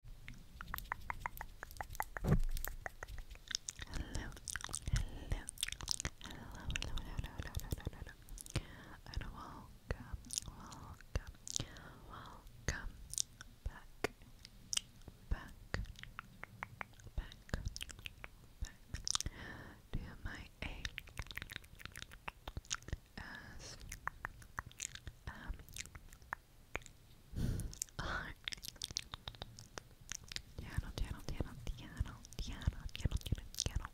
hello, hello, hello, hello, hello, hello, hello, hello, and welcome, welcome, welcome back, back, back, back to my A S M R Tiano, tiano, tiano, tiano, tiano, tiano, tiano, tiano.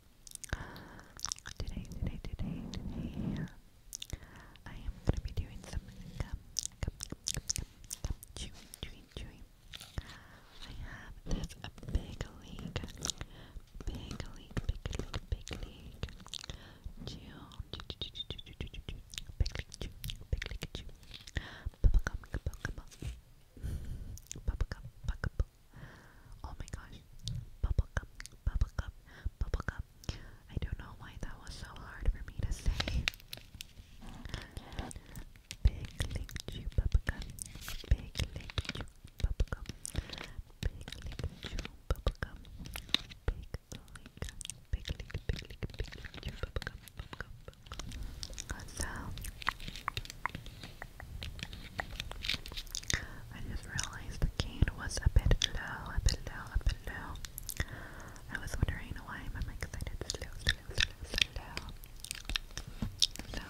Today, today, today, today, I am gonna be doing some gum, gum, gum, gum, gum, chewing, chewing, I have this big league, big league, big league, big league. Chew, chew, chew, chew, chew, chew, chew, chew, Pikachu, Pikachu, bubblegum, bubblegum, bubblegum, bubblegum. Oh my gosh, bubblegum, bubblegum, bubblegum. I don't know why that was so hard for me to say. Big bubblegum, bubblegum, bubblegum, so, I just realized the cane was a bit low, a bit low, a bit low. I was wondering why my mic sounded slow, slow, slow, slow.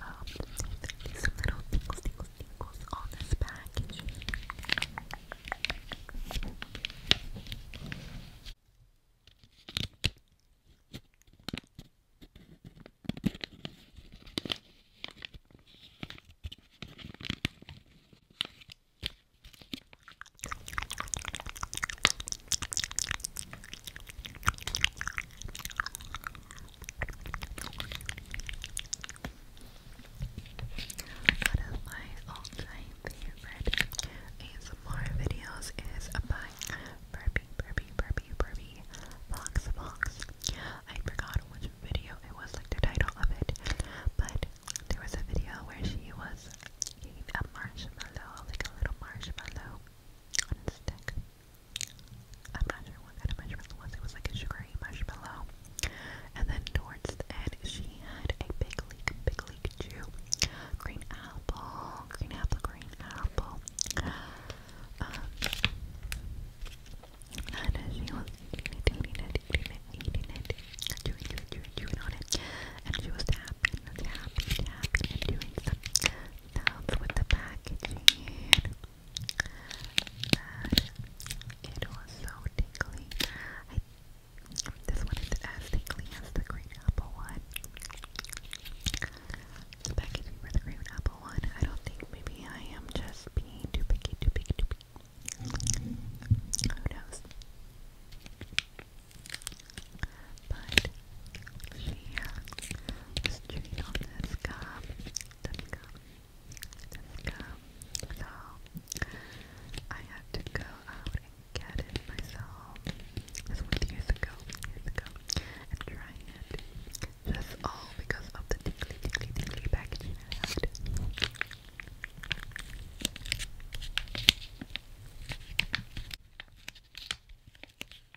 um, these little tingles, tingles, tingles on this package. One of my all-time favorite ASMR videos is by Burpee, Burpee, Burpee, Burpee, Fox, Fox. I forgot which video it was, like the title of it, but there was a video where she was gave a marshmallow, like a little marshmallow stick I'm not sure what kind of marshmallow it was. It was like a sugary marshmallow. And then towards the end, she had a big leak, big leak too. Green apple, green apple, green apple. Um, and she was eating it, eating it, eating it, eating it, chewing, chewing, chewing, chewing on it. And she was tapping, tapping, tapping, and doing some sounds with the packaging and it was so tingly. this one is as tingly as the green apple one. The packaging for the green apple one. I don't think maybe I am just being too picky, too picky, too picky. Who knows? But she uh, was chewing on this gum didn't come. It didn't come. So I had to go out and get it myself. This was years ago, years ago. And try it. Just all because of the tickly, tickly, tickly packaging I had.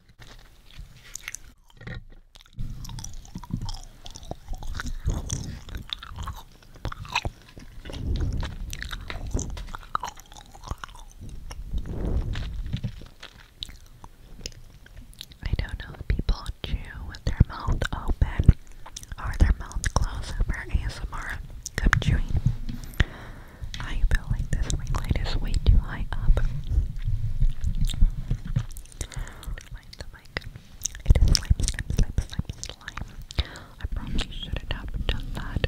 I don't know people chew with their mouth open Are their mouth closed for ASMR gum chewing. I feel like this ring light is way too high up. the mic. It is slime, slime, slime, slime, slime. I probably shouldn't have done that.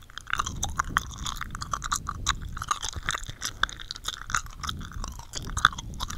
Hair, hair, hair from the fluffy microphone.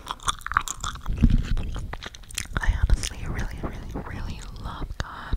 I honestly really, really, really love God.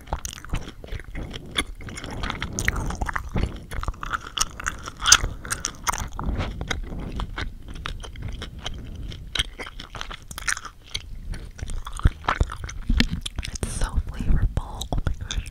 It's so flavorful. Oh my gosh.